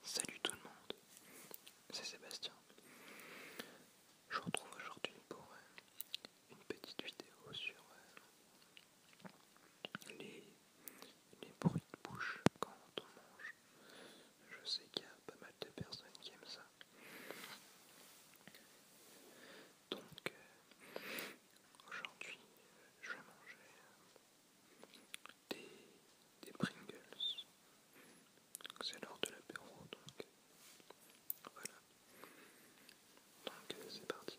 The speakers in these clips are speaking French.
Salut tout le monde, c'est Sébastien. Je vous retrouve aujourd'hui pour euh, une petite vidéo sur euh, les, bruits de bouche quand on mange. Je sais qu'il y a pas mal de personnes qui aiment ça. Donc euh, aujourd'hui, je vais manger des, des Pringles. C'est l'heure de l'apéro donc voilà. Donc euh, c'est parti.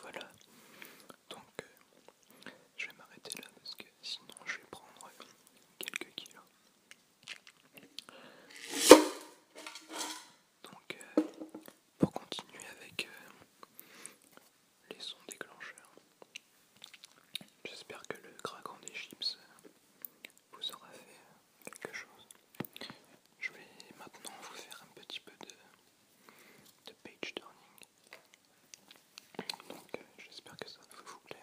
Voilà, donc euh, je vais m'arrêter là parce que sinon je vais prendre quelques kilos. Donc euh, pour continuer avec euh, les sons déclencheurs. J'espère que le craquant des chips vous aura fait quelque chose. Je vais maintenant vous faire un petit peu de, de page turning. Donc euh, j'espère que ça va vous plaire.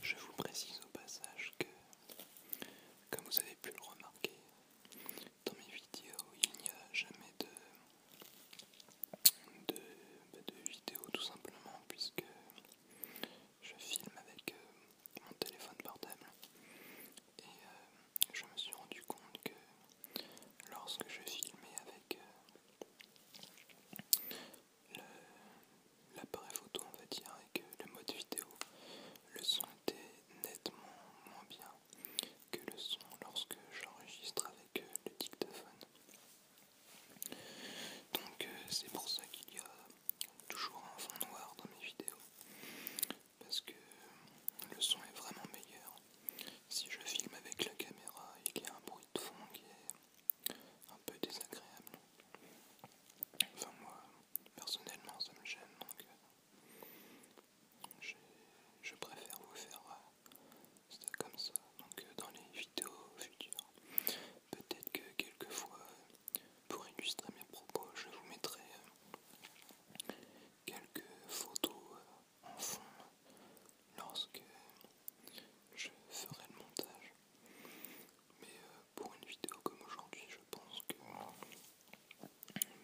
Je vous précise au passage que, comme vous avez pu le remarquer, dans mes vidéos, il n'y a jamais de, bah, vidéo tout simplement, puisque je filme avec euh, mon téléphone portable et euh, je me suis rendu compte que lorsque je filmais avec euh, l'appareil photo, on va dire, que le mode vidéo, le son était nettement moins bien que le son lorsque j'enregistre avec euh, le dictaphone. Donc c'est pour ça qu'il y a toujours un fond noir dans mes vidéos parce que le son est vraiment meilleur. Si je filme avec la caméra, il y a un bruit de fond qui est un peu désagréable. Enfin moi, personnellement, ça me gêne, donc euh, je préfère vous faire euh, ça comme ça. Donc euh, dans les vidéos futures, peut-être que quelquefois, pour illustrer mes propos, je vous mettrai quelques photos euh, en fond lorsque je ferai le montage. Mais euh, pour une vidéo comme aujourd'hui, je pense que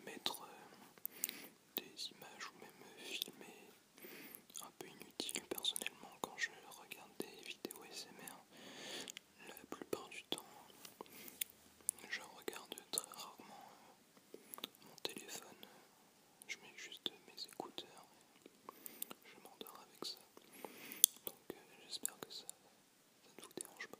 mettre euh, des images ou même filmer un peu inutile personnellement quand je regarde des vidéos SMR, la plupart du temps, je regarde très rarement euh, mon téléphone, je mets juste mes écouteurs je m'endors avec ça. Donc euh, j'espère que ça, ne vous dérange pas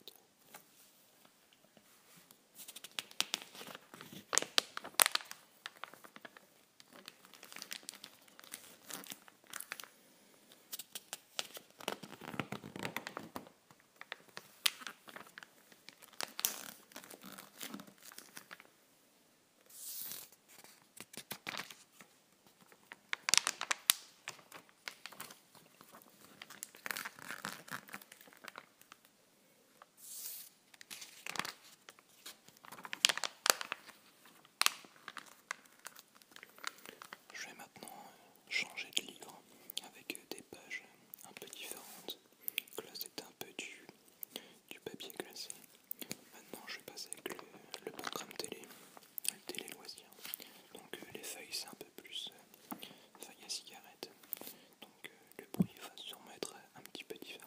je vais maintenant euh, changer de livre avec des pages un peu différentes. Donc là c'était un peu du, du papier glacé. Maintenant je vais passer avec le, programme télé, le télé loisir. Donc euh, les feuilles c'est un peu plus euh, feuilles à cigarette. Donc euh, le bruit va sûrement être un petit peu différent.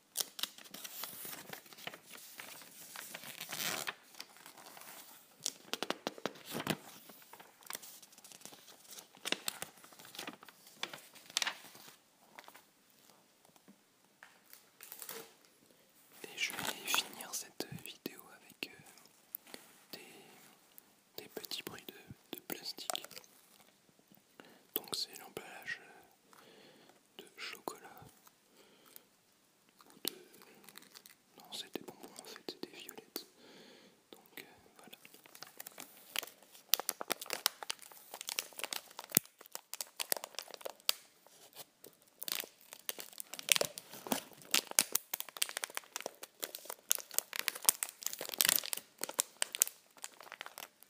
Et je vais finir cette vidéo avec euh, des, petits bruits de plastique. Donc c'est l'emballage euh, de chocolat non c'était bonbons en fait c'était donc euh, voilà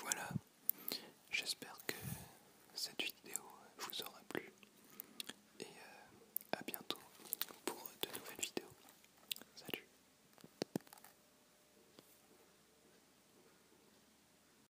Voilà, j'espère que cette vidéo vous aura plu et euh, à bientôt pour de nouvelles vidéos. Salut